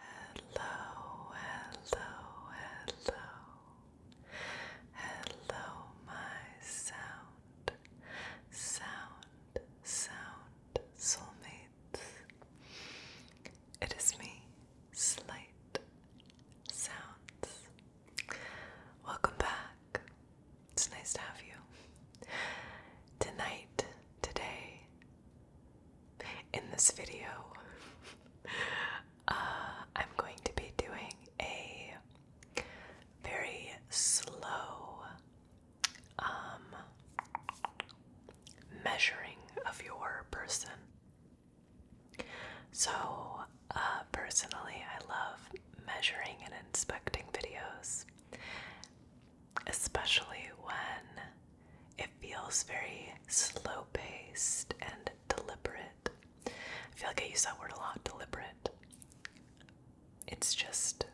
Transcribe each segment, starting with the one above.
Hello, hello, hello. Hello, my sound, sound, sound soulmates. It is me, Slight Sounds. Welcome back. It's nice to have you. Tonight, today, in this video, uh, I'm going to be doing a very slow um, measuring of your person. So, uh, personally, I love measuring and inspecting videos, especially when it feels very slow paced and deliberate. I feel like I use that word a lot deliberate. It's just,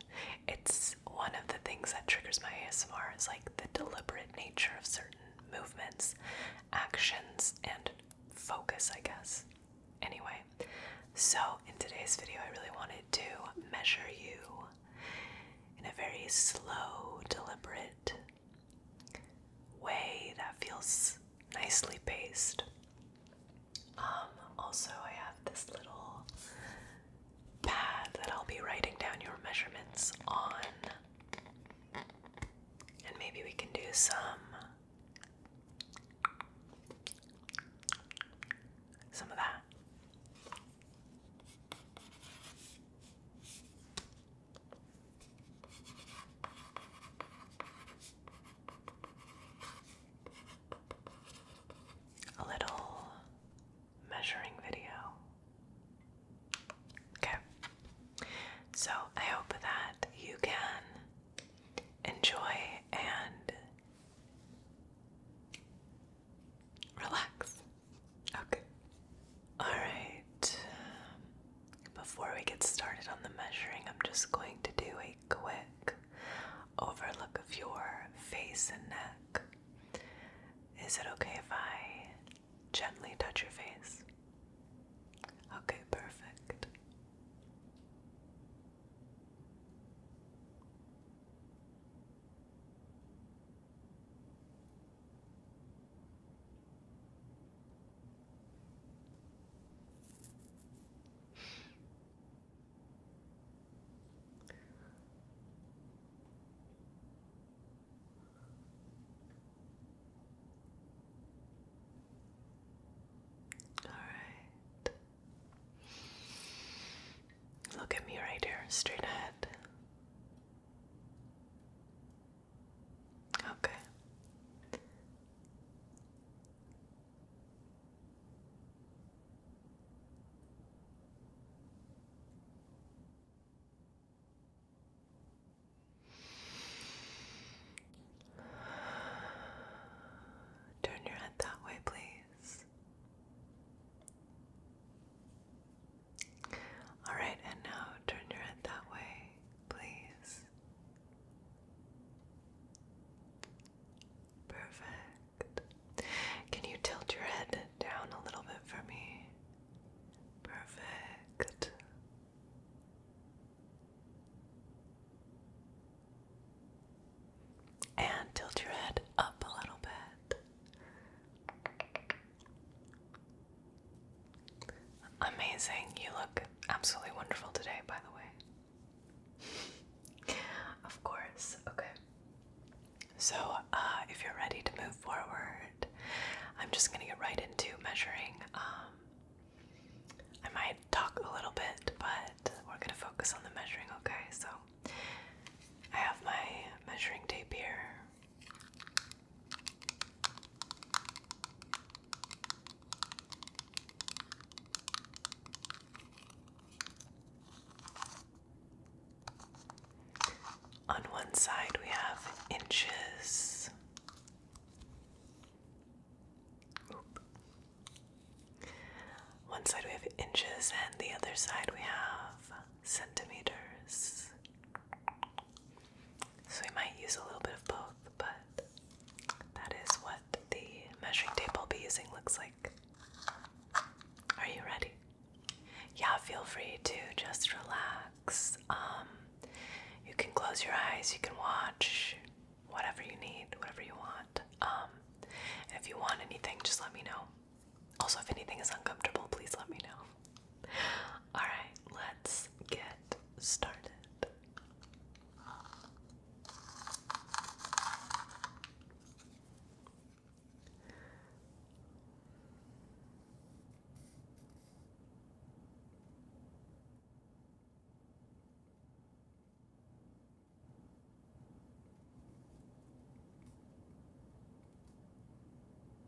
it's one of the things that triggers my ASMR is like the deliberate nature of certain movements, actions, and focus, I guess. Anyway, so in today's video, I really wanted to measure you in a very slow, deliberate, way that feels nicely paced. Um, also, I have this little pad that I'll be writing down your measurements on, and maybe we can do some. Some of that. A little measuring video. Okay. So I hope that you can enjoy and relax. Okay. Alright. Before we get started on the measuring, I'm just going to do a quick overlook of your face and neck. Is it okay if I gently touch your face? Okay, perfect. All right. Look at me right here, straight ahead. Okay. Turn your head that way, please. All right, and now turn your head that way, please. Perfect. Can you tilt your head down a little bit for me? Perfect. And tilt your head up a little bit. Amazing. You look absolutely wonderful today, by the way. of course. Okay. So, uh, if you're ready to move forward, I'm just going to get right into measuring. Um, I might talk a little bit, but we're going to focus on the measuring, okay? So, I have my measuring tape here. On one side, we have inches. One side we have inches, and the other side we have centimeters. So we might use a little bit of both, but that is what the measuring tape I'll be using looks like. Are you ready? Yeah, feel free to just relax. Um, you can close your eyes, you can watch whatever you need, whatever you want. Um, if you want anything, just let me know. Also, if anything is uncomfortable, please let me know. Alright, let's get started.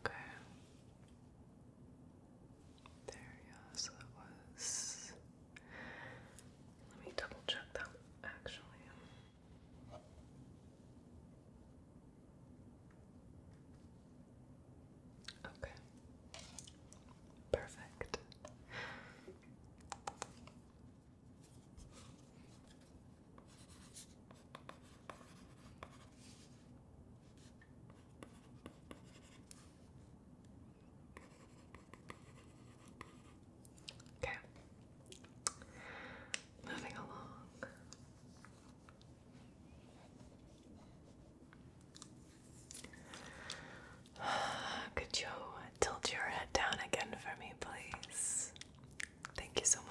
Okay. There, yeah, so that was. Let me double check that actually. Okay. Perfect. Okay. Moving along. Could you tilt your head down again for me, please? Thank you so much.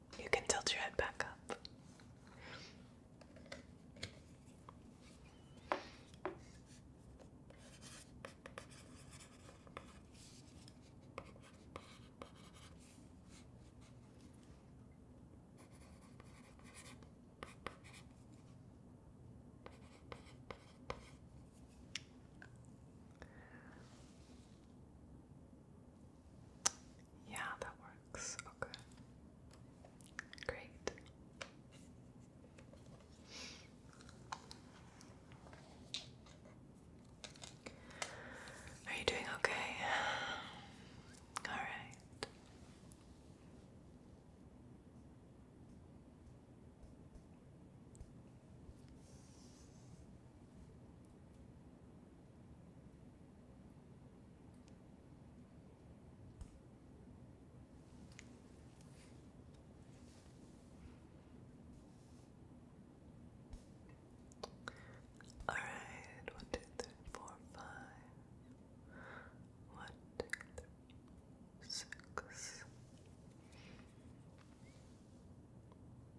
You can tilt your head back up. Yeah, that works. Okay. Great. Are you doing okay? All right. All right, one, two, three, four, five. One, two, three, six.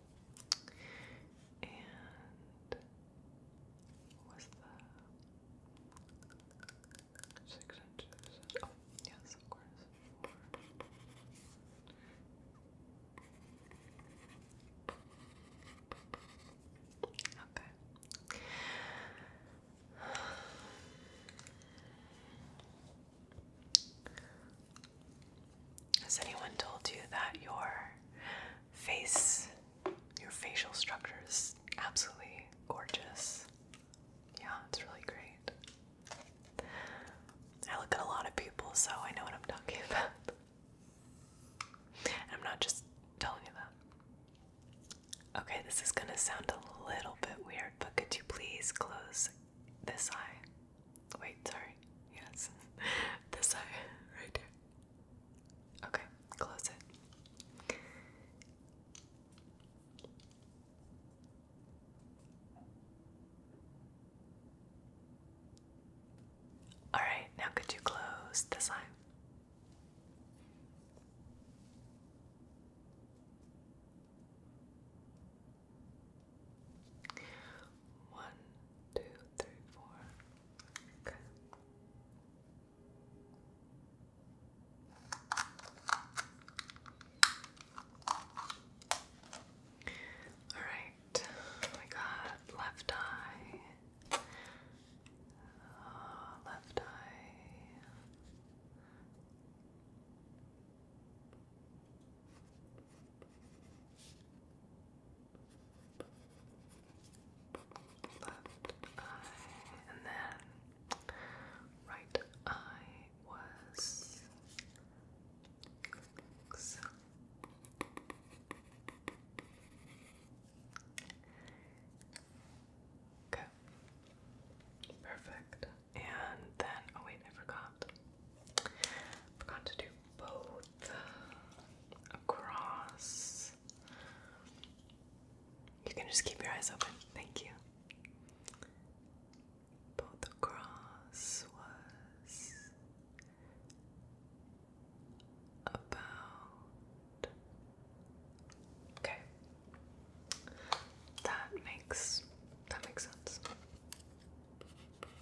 and was the six inches? Oh, yes, of course. Okay. Has anyone told you that your face, your facial structure is absolutely gorgeous? Yeah, it's really great. I look at a lot of people, so I know what I'm talking about. I'm not just telling you that. Okay, this is gonna sound a little bit weird, but could you please close this eye? Wait, sorry. Yes. this eye, right here. Okay, close it. All right, now could you close this eye? One, two, three, four. Okay. All right, we got left eye, uh, left eye left eye, and then right eye was Okay. Perfect. And then, oh wait, I forgot. forgot to do both across. You can just keep your eyes open. Thank you. Both across was about. Okay. That makes that makes sense.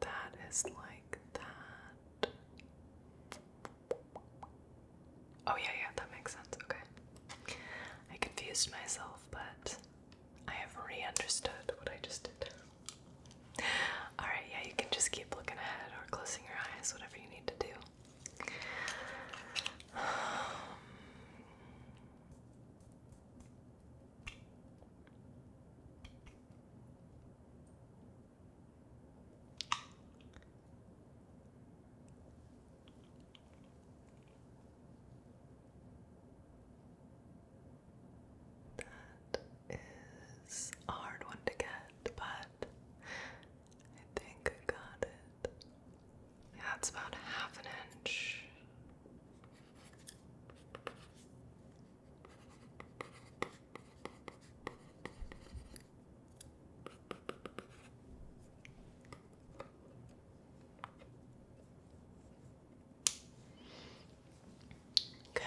that is like that. Oh, yeah, yeah, that makes sense. Okay. I confused myself, but I have re understood what I just did. Alright, yeah, you can just keep looking ahead or closing your eyes, whatever you need to do. Um, that is a hard one to get, but I think I got it. That's about half an inch. Okay.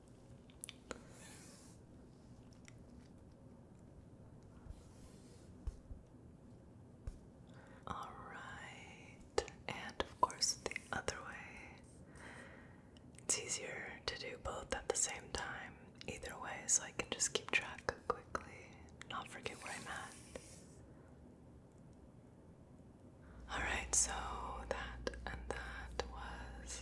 All right, and of course, the other way. It's easier to do both at the same time, either way, so I can just keep track quickly, not forget where I'm at. Alright, so that and that was.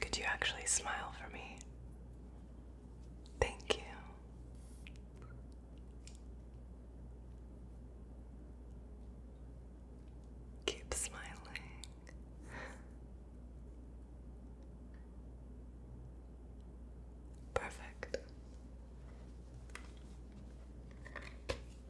Could you actually smile for me? Thank you. Keep smiling. Perfect.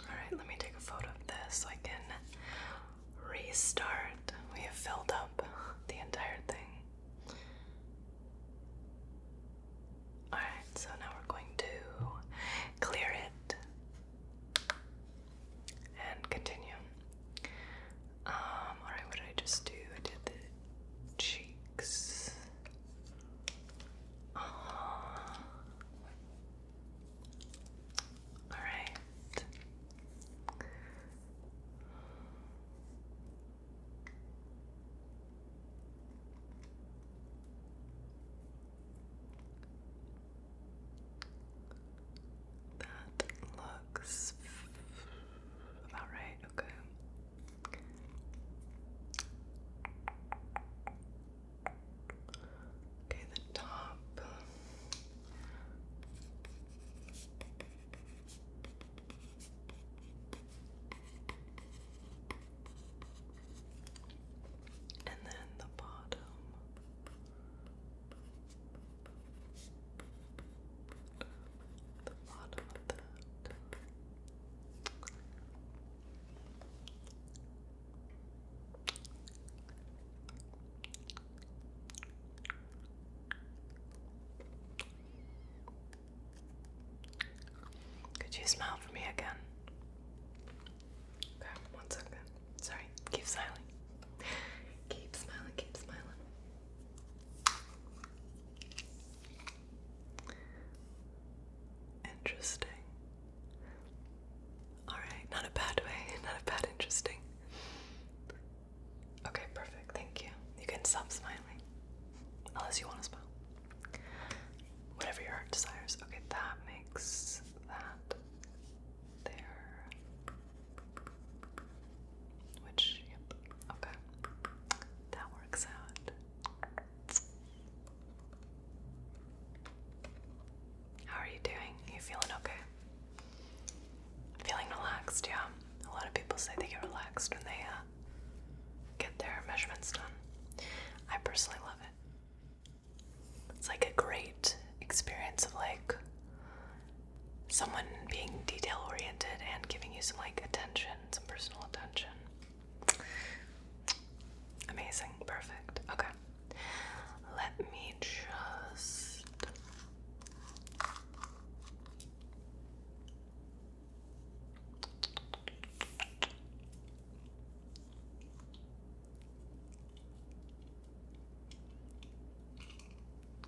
Alright, let me take a photo of this so I can restart. We have filled up the entire thing. Alright, so now we're going to clear it and continue. Um, alright, what did I just do? I did the cheeks. Uh-huh. All right. That looks about right, okay. Okay, the top. And then the bottom. The bottom of that. Could you smile for me again? Okay, one second. Sorry, keep smiling. Keep smiling, keep smiling. Interesting. Alright, not a bad way, not a bad interesting. Okay, perfect, thank you. You can stop smiling. Unless you want to smile. Whatever your heart desires. Okay, that makes that there. Which, yep, okay. That works out. How are you doing? you feeling okay? Feeling relaxed, yeah. A lot of people say they get relaxed when they uh, get their measurements done. I personally love it. It's like a great experience of like someone being detail oriented and giving you some like attention, some personal attention. Amazing, perfect. Okay. Let me just.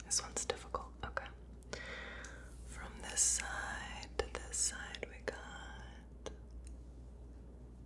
This one's difficult. Okay. From this side to this side, we got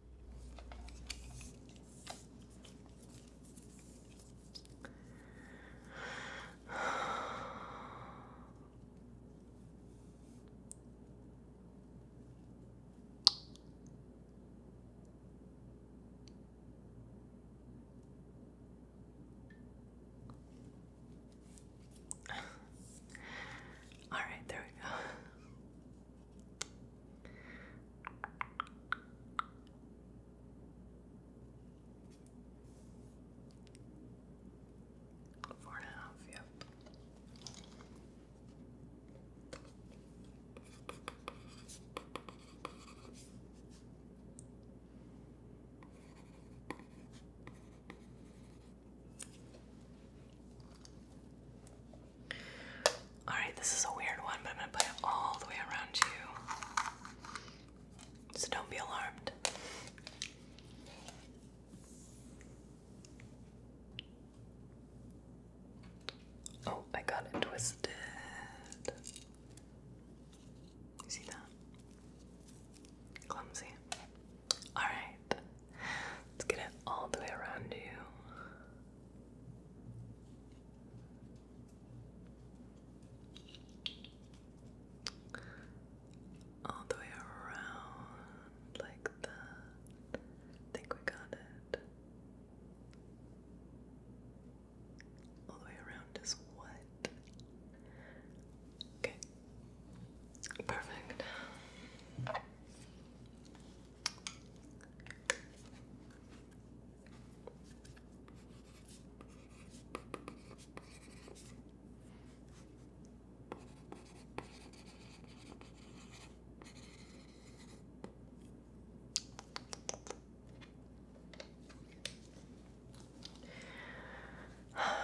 All right, there we go. Four and a half, yep. Alright, this is a weird one, but I'm going to put it all the way around you. So don't be alarmed. Oh, I got it twisted. You see that? Clumsy. Alright, let's get it all the way around you all the way around like that. think we got it. All the way around is what? Okay. Perfect.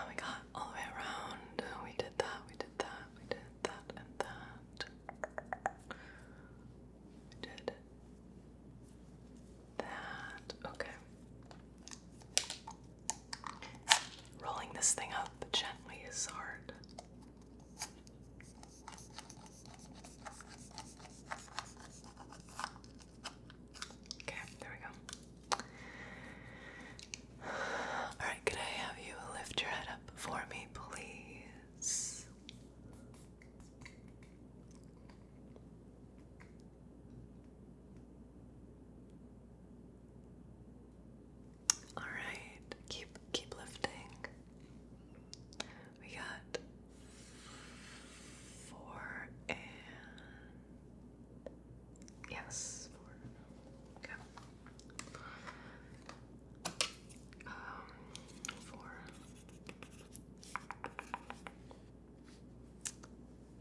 We got all the way around. We did that, we did that, we did that, and that did that. Okay. Rolling this thing up gently is hard. Okay, there we go. Alright, could I have you lift your head up for me, please? All right, keep keep lifting. We got four and yes, four. Okay um, for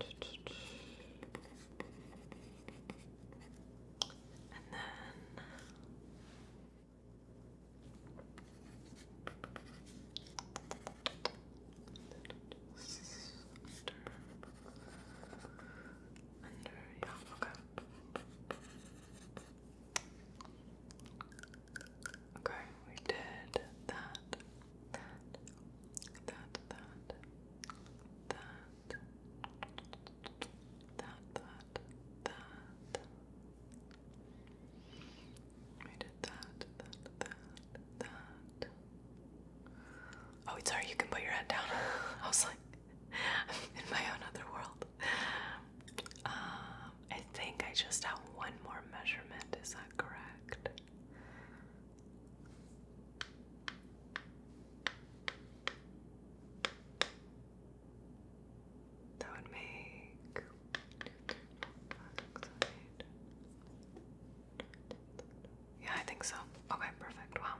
and then under, under, yeah, okay. Okay, we did that, that, that, that, that, that, that, that. We did that, that, that, that. Oh, it's sorry, you can put your head down. I was like, in my own other world. Um, I think I just have one more measurement. Is that correct? That would make yeah, I think so. Okay, perfect. Wow.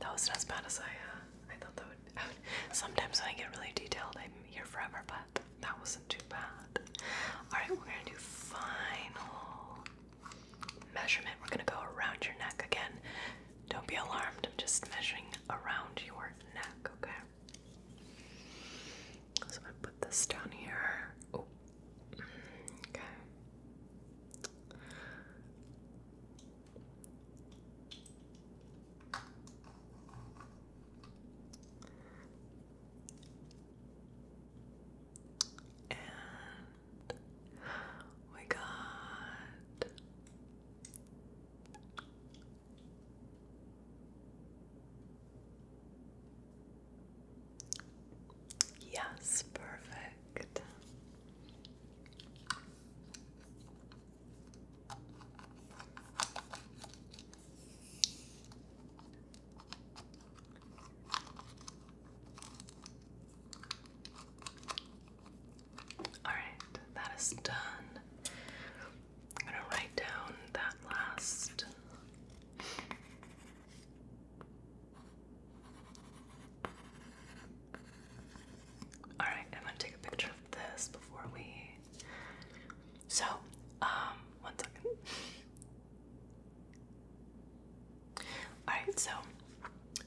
That wasn't as bad as I, uh, I thought that would. I sometimes when I get really detailed, I'm here forever, but that wasn't too bad. All right, we're gonna do final measurement. We're gonna go around your neck again. Don't be alarmed. I'm just measuring around your neck. Okay. So I put this down here. Okay. And we got Yes, perfect. All right, that is done. I'm going to write down that last. Alright, I'm gonna take a picture of this before we. So, um, one second. Alright, so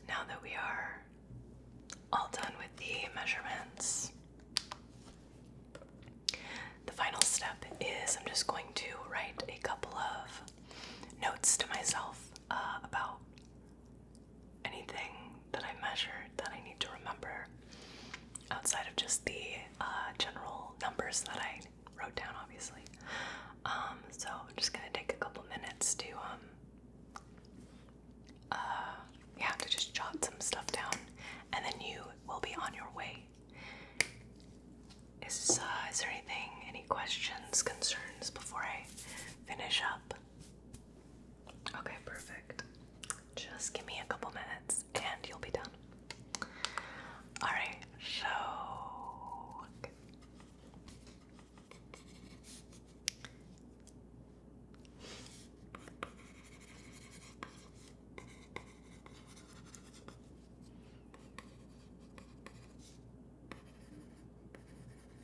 now that we are all done with the measurements, the final step is I'm just going to write a couple of notes to myself uh, about anything that I measured that I need to remember outside of just the uh, general numbers that I wrote down, obviously. Um, so I'm just gonna take a couple minutes to, um, uh, yeah, to just jot some stuff down, and then you will be on your way. Is is there anything, any questions, concerns before I finish up? Okay, perfect. Just give me a couple minutes and you'll be done. Alright, so.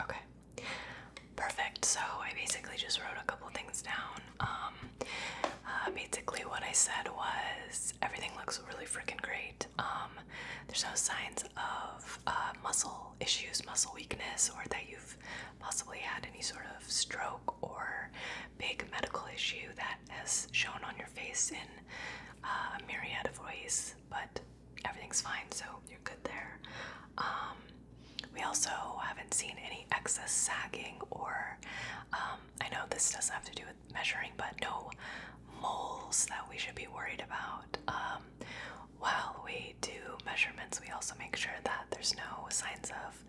Okay. Perfect. So I basically just wrote a couple things down um, uh, basically, what I said was everything looks really freaking great. Um, there's no signs of uh, muscle issues, muscle weakness, or that you've possibly had any sort of stroke or big medical issue that has shown on your face in uh, a myriad of ways. But everything's fine, so you're good there. Um, we also haven't seen any excess sagging, or um, I know this doesn't have to do with measuring, but no moles that we should be worried about. Um, while we do measurements, we also make sure that there's no signs of,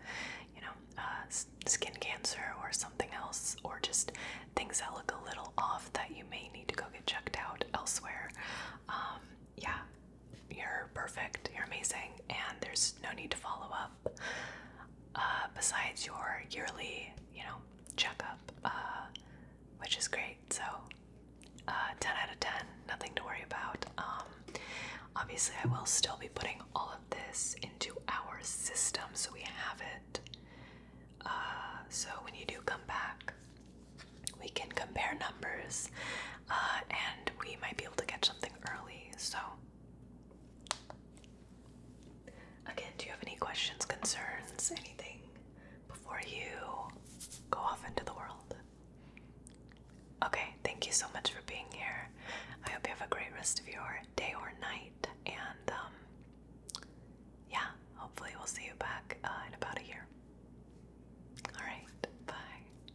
you know, uh, skin cancer or something else, or just things that look a little off that you may need to go get checked out elsewhere. Um, yeah, you're perfect. You're amazing. And there's no need to follow up. Uh, besides your yearly, you know, checkup, uh, which is great. So, uh, 10 out of 10, nothing to worry about. Um, obviously, I will still be putting all of this into our system so we have it. so, when you do come back, we can compare numbers and we might be able to get something early. So, Again, do you have any questions, concerns, anything before you go off into the world? Okay, thank you so much for being here. I hope you have a great rest of your day or night, and um, yeah, hopefully, we'll see you back uh, in about a year. All right, bye.